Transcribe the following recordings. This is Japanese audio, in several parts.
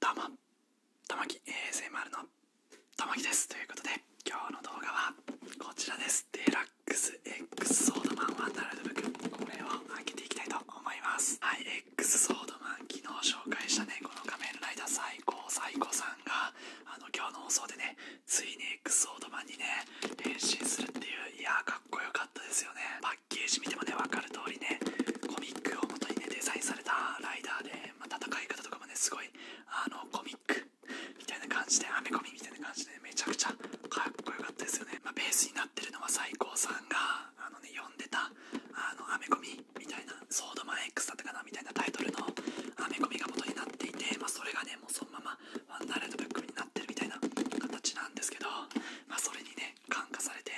たまたまき ASMR のたまきですということで今日の動画はこちらですデラックス X ソードマンワンダールドブックこれを開けていきたいと思いますはい X ソードマ昨日紹介したねこの仮面ライダー最高最高さんがあの今日の放送でねついに X ソードマンにね変身するっていういやーかっこよかったですよねパッケージ見てもね分かる通りねコミックを元にねデザインされたライダーで、ま戦い方とかもねすごいあのコミックみたいな感じでアメコミみたいな感じでめちゃくちゃかっこよかったですよね、まベースになってるのは最高さんがあのね読んでたあのアメコミみたいな「ソードマン X だったかな」みたいなタイトルのアメコミが元になっていて、まそれがねもうそのままワンダーラットブックになってるみたいな形なんですけど、まあ、それにね感化されて、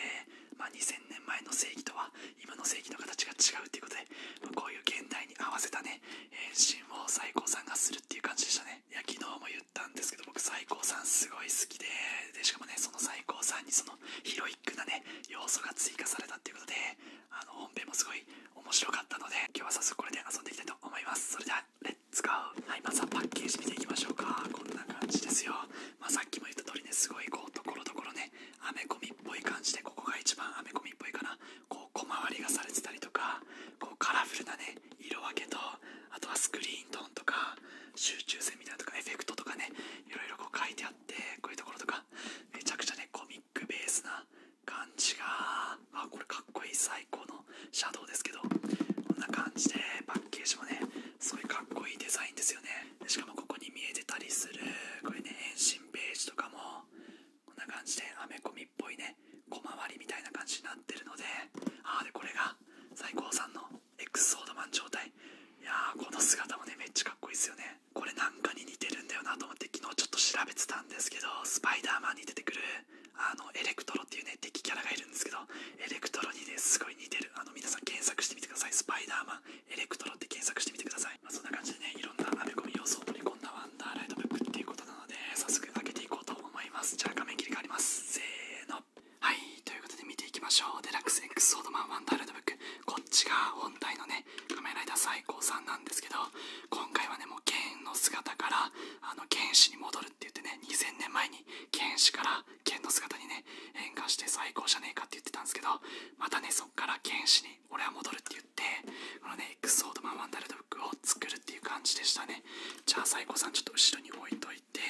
ま2000年前の正義とは今の正義の形が違うっていうことで、まこういう現代に合わせたね変身を最高さんがするっていう感じでしたねいや昨日たんですけど僕最高さんすごい好きででしかもねその最高さんにそのヒロイックなね要素が追加されたっていうことであの本編もすごい面白かったので今日は早速これで遊んでいきたいと思いますそれではレッツゴーはいまずはパッケージ見ていきましょうかこんな感じですよまさっきも言った通りねすごいこうところどころねアメコミっぽい感じでここが一番アメコミっぽいかなこう小回りがされてたりとかこうカラフルなね色分けとあとはスクリーントーンとか集中セミナーとかエフェクトとかねいろこう書いてあってこういうところとかめちゃくちゃねコミックベースな感じがあこれかっこいい最高のシャドウですけどこんな感じでパッケージもねすごいかっこいいデザインですよねしかもここに見えてたりするこれね遠心ページとかもこんな感じでアメコミっぽいね小回りみたいな感じになってるのでああでこれが最高さんの X ソードマン状態いやーこの姿もねめっちゃかっこいいですよねこれなんかに似てるんだよなと思って昨日ちょっと調べてたんですけどスパイダーマンに出てくるあのエレクトロっていうね敵キャラがいるんですけどエレクトロにねすごい似てるあの皆さん検索してみてくださいスパイダーマンエレクトロって検索してみてください、まそんな感じでねいろんなアメコミ要素を取り込んだワンダーライトブックっていうことなん早速開けていこうと思いますじゃあ画面切り替わりますせーのはいということで見ていきましょうデラックス X ソードマンワンダルトブックこっちが本体のね仮面ライダー最高さんなんですけど今回はねもう剣の姿からあの剣士に戻るって言ってね2000年前に剣士から剣の姿にね変化して最高じゃねえかって言ってたんですけどまたねそっから剣士に俺は戻るって言ってこのね X ソードマンワンダルトブックを作るっていう感じでしたねじゃあサイコさんちょっと後ろに置いといて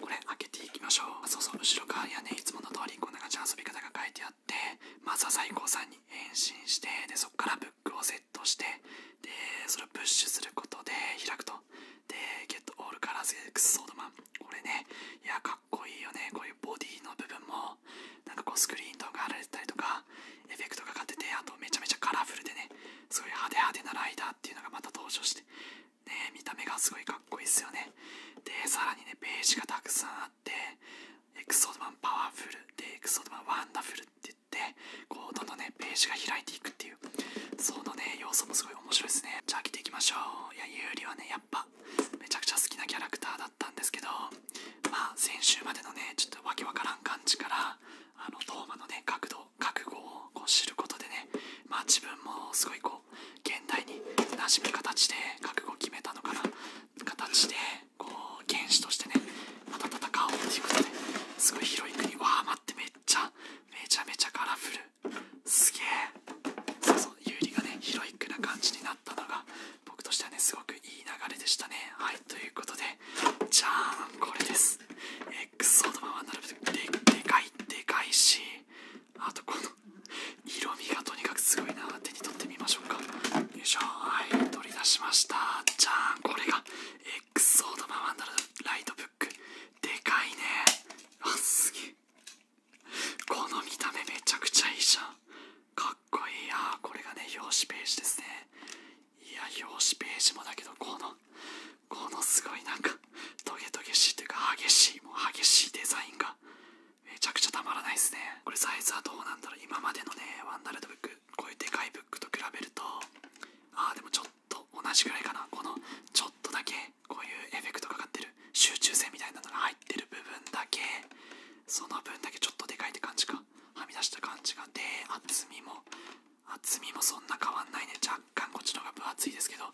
これ開けていきましょうそうそう後ろ側にはねいつもの通りこんな感じの遊び方が書いてあってまずはサイさんに変身してでそっからブックをセットしてでそれをプッシュすることで開くとでゲットオールカラーク X ソードマンこれねいやかっこいいよねこういうボディの部分もなんかこうスクリーンとか貼られてたりとかエフェクトがかかっててあとめちゃめちゃカラフルでねすごい派手派手なライダーっていうのがまた登場してね見た目がすごいかっこいいっすよねでさらにねページがたくさんあってエクソードマンパワフルでエクソードマンワンダフルって言ってこうどんどんねページが開いていくっていうそのね要素もすごい面白いですねじゃあ来ていきましょういやユーリはねやっぱめちゃくちゃ好きなキャラクターだったんですけどまあ先週までのねちょっとわけわからん感じからあのトーマのね角度覚悟をこう知ることでねまあ自分もすごいこう現代に馴染む形で覚悟を決めたのかな形でこう原士としてねまた戦おうっていうことですごいヒロ広いにわあ待ってめっちゃめちゃめちゃカラフルすげえそうそう有利がねヒロイックな感じになったのが僕としてはねすごくいい流れでしたねはいということでじゃん、これですエクソードマンは並べてでかいでかいしあとこの色味がとにかくすごいな手に取ってみましょうかよいしょはい取り出しましたじゃん、これが xo ソードマンはライトブックでかいねあすげえこの見た目めちゃくちゃいいじゃんかっこいいや。これがね表紙ページですねいや表紙ページもだけどこのこのすごいなんかトゲトゲしいというか激しいもう激しいデザインがめちゃくちゃたまらないですねこれサイズはどうなんだろう今までのねワンダレットブックこういうでかいブックと比べるとああでもちょっと同じぐらいかなこのちょっとだけこういうエフェクトかかってる集中性みたいなのが入ってる部分だけその分だけちょっとでかいって感じかはみ出した感じがで厚みも厚みもそんな変わんないね若干こっちの方が分厚いですけど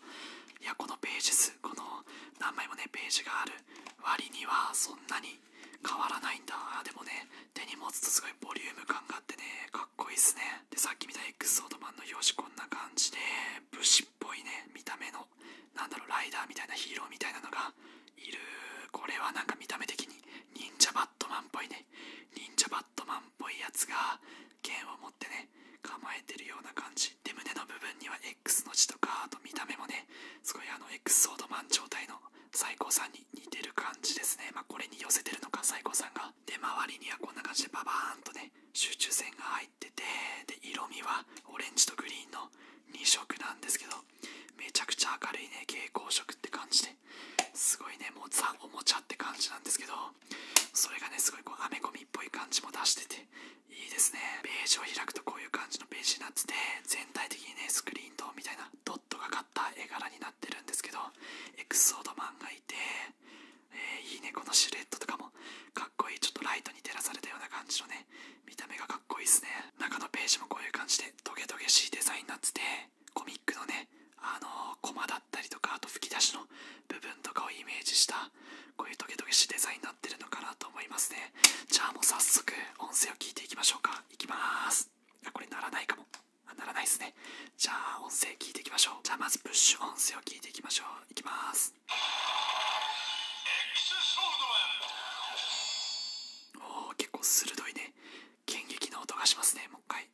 いやこのページ数この何枚もねページがある割にはそんなに変わらないんだでもね手に持つとすごいボリューム感があってねかっこいいっすねでさっき見た X ソードマンの表紙こんな感じで武士っぽいね見た目の何だろうライダーみたいなヒーローみたいなのがいるこれはなんか見た目的に忍者バットマンっぽいね忍者バットマンっぽいやつが剣を持ってね構えてるような感じで胸の部分には X の字とかあと見た目もねすごいあの X ソードマン状態の最高さんに似てる感じですねまこれに寄せてるのかサイコさんがで周りにはこんな感じでババーンとね集中線が入っててで色味はオレンジとグリーンの2色なんですけどめちゃくちゃ明るいね蛍光色って感じですごいねもうザおもちゃって感じなんですけどそれがねすごいこうアメコミっぽい感じも出してていいですねページを開くとこういう感じのページになってて全体的にねスクリーントーンみたいなドットがかった絵柄になってるんですけどエクソードマンがいて、えー、いいねこのシルエットとかもかっこいいちょっとライトに照らされたような感じのね見た目がかっこいいっすね中のページもこういう感じでトゲトゲしいデザインになっててコミックのねあのコマだったりとかあと吹き出しの部分とかをイメージしたこういうトゲトゲしいデザインになってるのかなと思いますねじゃあもう早速音声を聞いていきましょうかいきまーすあこれならないかもあならないですねじゃあ音声聞いていきましょうじゃあまずプッシュ音声を聞いていきましょういきますエピおお結構鋭いね剣撃の音がしますねもう一回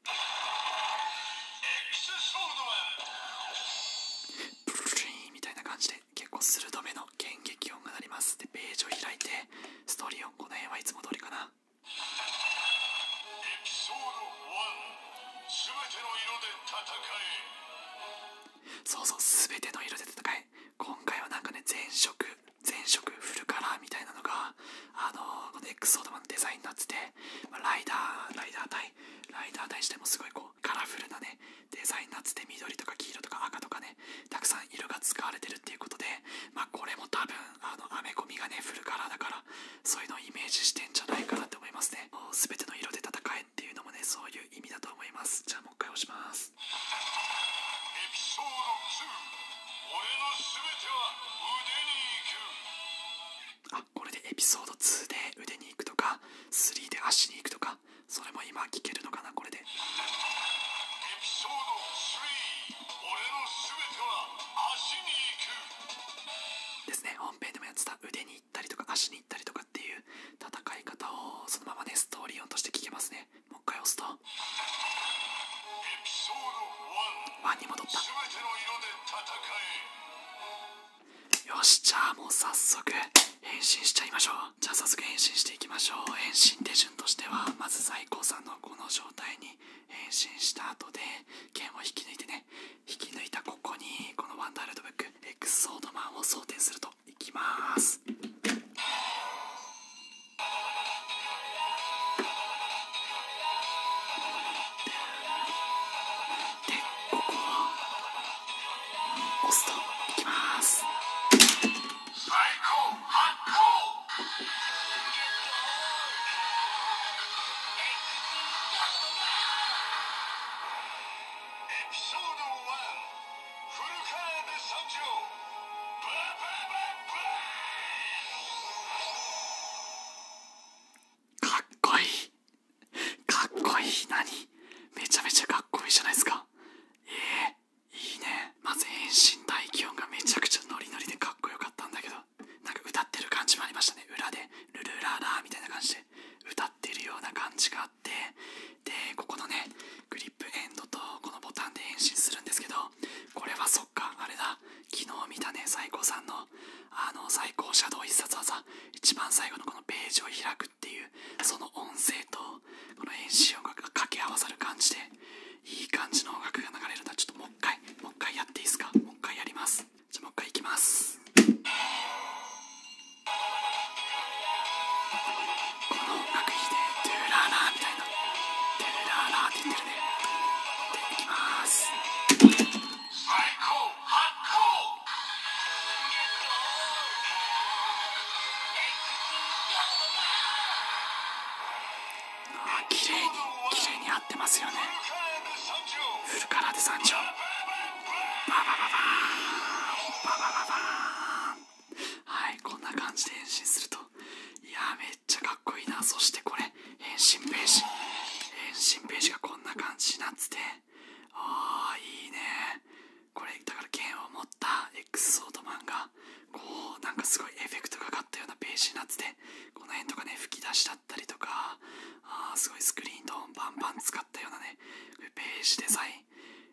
ブルルンみたいな感じで結構鋭めの剣撃音が鳴りますでページを開いてストーリー音この辺はいつも通りかなそうそう全ての色で戦え今回はなんかね全色全色フルカラーみたいなのがあのこのエクソードマンのデザインになってて、まライダーライダー対ライダー対してもすごいこうカラフルなねデザインになってて緑とか黄色とか赤とかねたくさん色が使われてるっていうことでまあこれも多分あのアメコミがねフルカラーだからそういうのをイメージしてんじゃないかなって思いますね全ての色で戦えっていうのもねそういう意味だと思いますじゃあもう一回押しますエピソード2これでエピソード2で腕に行くとか3で足に行くとかそれも今聞けるのかなこれでですね本編でもやってた腕に行ったりとか足に行ったりとかっていう戦い方をそのままねストーリー音として聞けますねもう一回押すと1に戻ったよしじゃあもう早速変身しちゃいましょうじゃあ早速変身していきましょう変身手順としてはまず在庫さんのこの状態に変身した後で剣を引き抜いてね引き抜いたここにこのワンダールドブックエクソードマンを装填するといきます押いエピソード1かっこいいかっこいい何めちゃめちゃかっこいいじゃないですかえいいねまず遠心。大気温がめちゃくちゃノリノリでかっこよかったんだけどなんか歌ってる感じもありましたね裏でルルララみたいな感じで歌ってるような感じがあってでここのねグリップエンドとこのボタンで変身するんですけどこれはそっかあれだ昨日見たね最高さんのあの最高シャドウ必殺技一番最後のこのページを開くっていうその音声とこの変身音楽が掛け合わさる感じでいい感じの音楽が流れるんだちょっともう一回もう一回やっていいですかもう一回やりますじゃあもう一回いきますこの音楽いいねトゥーラーラーみたいなトゥーラーラーって言ってるねでいきますあ綺麗に綺麗に合ってますよねフルカラーで山頂ババババババンンはいこんな感じで変身するといやめっちゃかっこいいなそしてこれ変身ページ変身ページがこんな感じになっててああいいねこれだから剣を持った X ソードマンがこうなんかすごいエフェクトがかったようなページになっててこの辺とかね吹き出しだったりとかああすごいスクリーントーンバンバン使ったようなねねページデザイ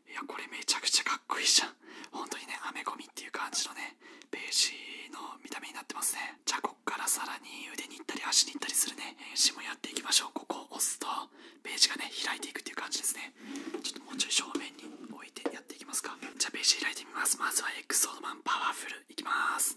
ンいやこれめちゃくちゃかっこいいじゃん本当にねアメコミっていう感じのねページの見た目になってますねじゃあこっからさらに腕に行ったり足に行ったりするね変身もやっていきましょうここを押すとページがね開いていくっていう感じですねちょっともうちょい正面に置いてやっていきますかじゃあページ開いてみますまずはエクソードマンパワフルいきます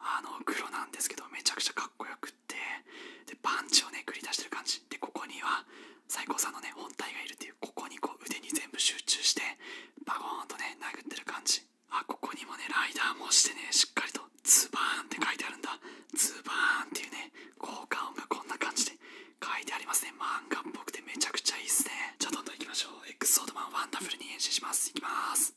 あの黒なんですけどめちゃくちゃかっこよくってでパンチをね繰り出してる感じでここには最高さんのね本体がいるっていうここにこう腕に全部集中してバゴーンとね殴ってる感じあここにもねライダーもしてねしっかりとズバーンって書いてあるんだズバーンっていうね効果音がこんな感じで書いてありますね漫画っぽくてめちゃくちゃいいっすねじゃあどんどんいきましょうエクソードマンワンダフルに変身しますいきます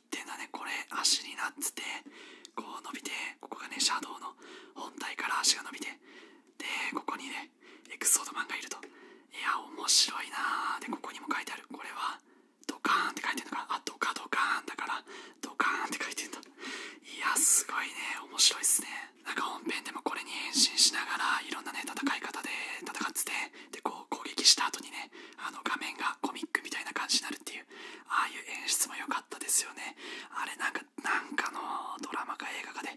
いってんねこれ足になっててこう伸びてここがねシャドウの本体から足が伸びてでここにねエクソードマンがいるといや面白いなでここにも書いてあるこれはドカーンって書いてるのかあドカドカーンだからドカーンって書いてんだいやすごいね面白いっすねなんか本編でもこれに変身しながらいろんなね戦い方で戦っててでこう攻撃した後にねあの画面がコミックみたいな感じになるっていうああいう演出も良かったですよねあれなんかなかのドラマか映画かで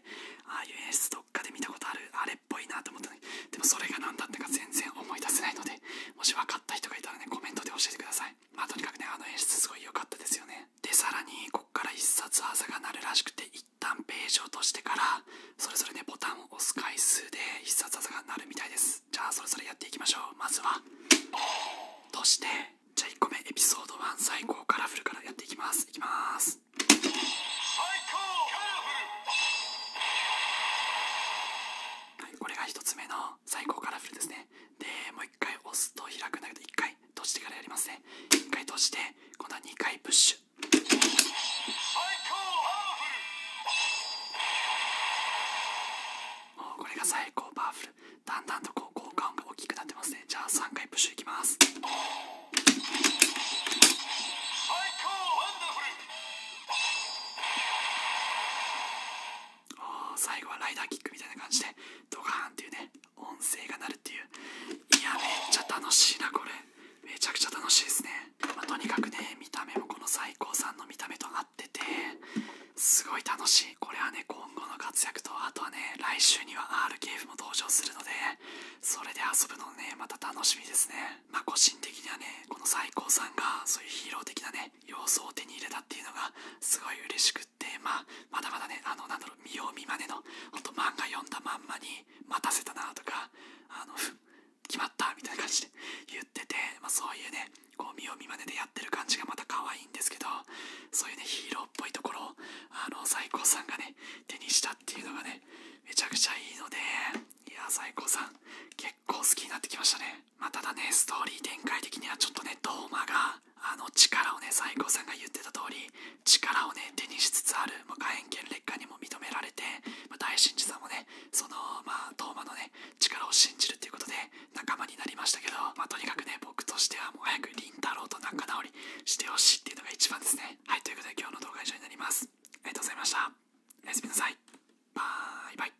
ああいう演出どっかで見たことあるあれっぽいなと思ったのにでもそれが何だったか全然思い出せないのでもし分かった人がいたらねコメントで教えてくださいまあとにかくねあの演出すごい良かったですよねでさらにこっから一冊技が鳴るらしくて一旦ページを落としてからそれぞれねボタンを押す回数で必殺技が鳴るみたいですじゃあそれぞれやっていきましょうまずはとしてじゃあ1個目エピソード1最高カラフルからやっていきますいきます最高カラフル、はい、これが1つ目の最高カラフルですねでもう1回押すと開くんだけど1回閉じてからやりますね1回閉じて今度は2回プッシュ最高カラフルもうこれが最高パワフルだんだんとこう効果が大きくなってますねじゃあ3回プッシュいきます最後はライダーキックみたいな感じでドカーンっていうね音声が鳴るっていういやめっちゃ楽しいなこれめちゃくちゃ楽しいですね、とにかくね見た目もこの最高さんの見た目となっ合ってすごい楽しいこれはね今後の活躍とあとはね来週には RKF も登場するのでそれで遊ぶのねまた楽しみですねまあ個人的にはねこの最高さんがそういうヒーロー的なね様子を手に入れたっていうのがすごい嬉しくってまあまだまだねあのなんだろう見よう見まねのほんと漫画読んだまんまに待たせたなとかあの決まったみたいな感じで言ってて、まそういうねこう見よ見まねでやってる感じがまた可愛いんですけどそういうねヒーローっぽいところをあの最高さんがね手にしたっていうのがねめちゃくちゃいいのでいや最高さん結構好きになってきましたね、まただねストーリー展開的にはちょっとねトーマがあの力をね最高さんが言ってた通り力をね手にしつつある、まあ、火炎剣劣化にも認められて、ま大神寺さんもねそのまあトのね力を信じるっていうことで仲間になりましたけど、まとにかくね僕としてはもう早くり太郎と仲直りしてほしいっていうのが一番ですねはいということで今日の動画以上になりますありがとうございましたおやすみなさいバイバイ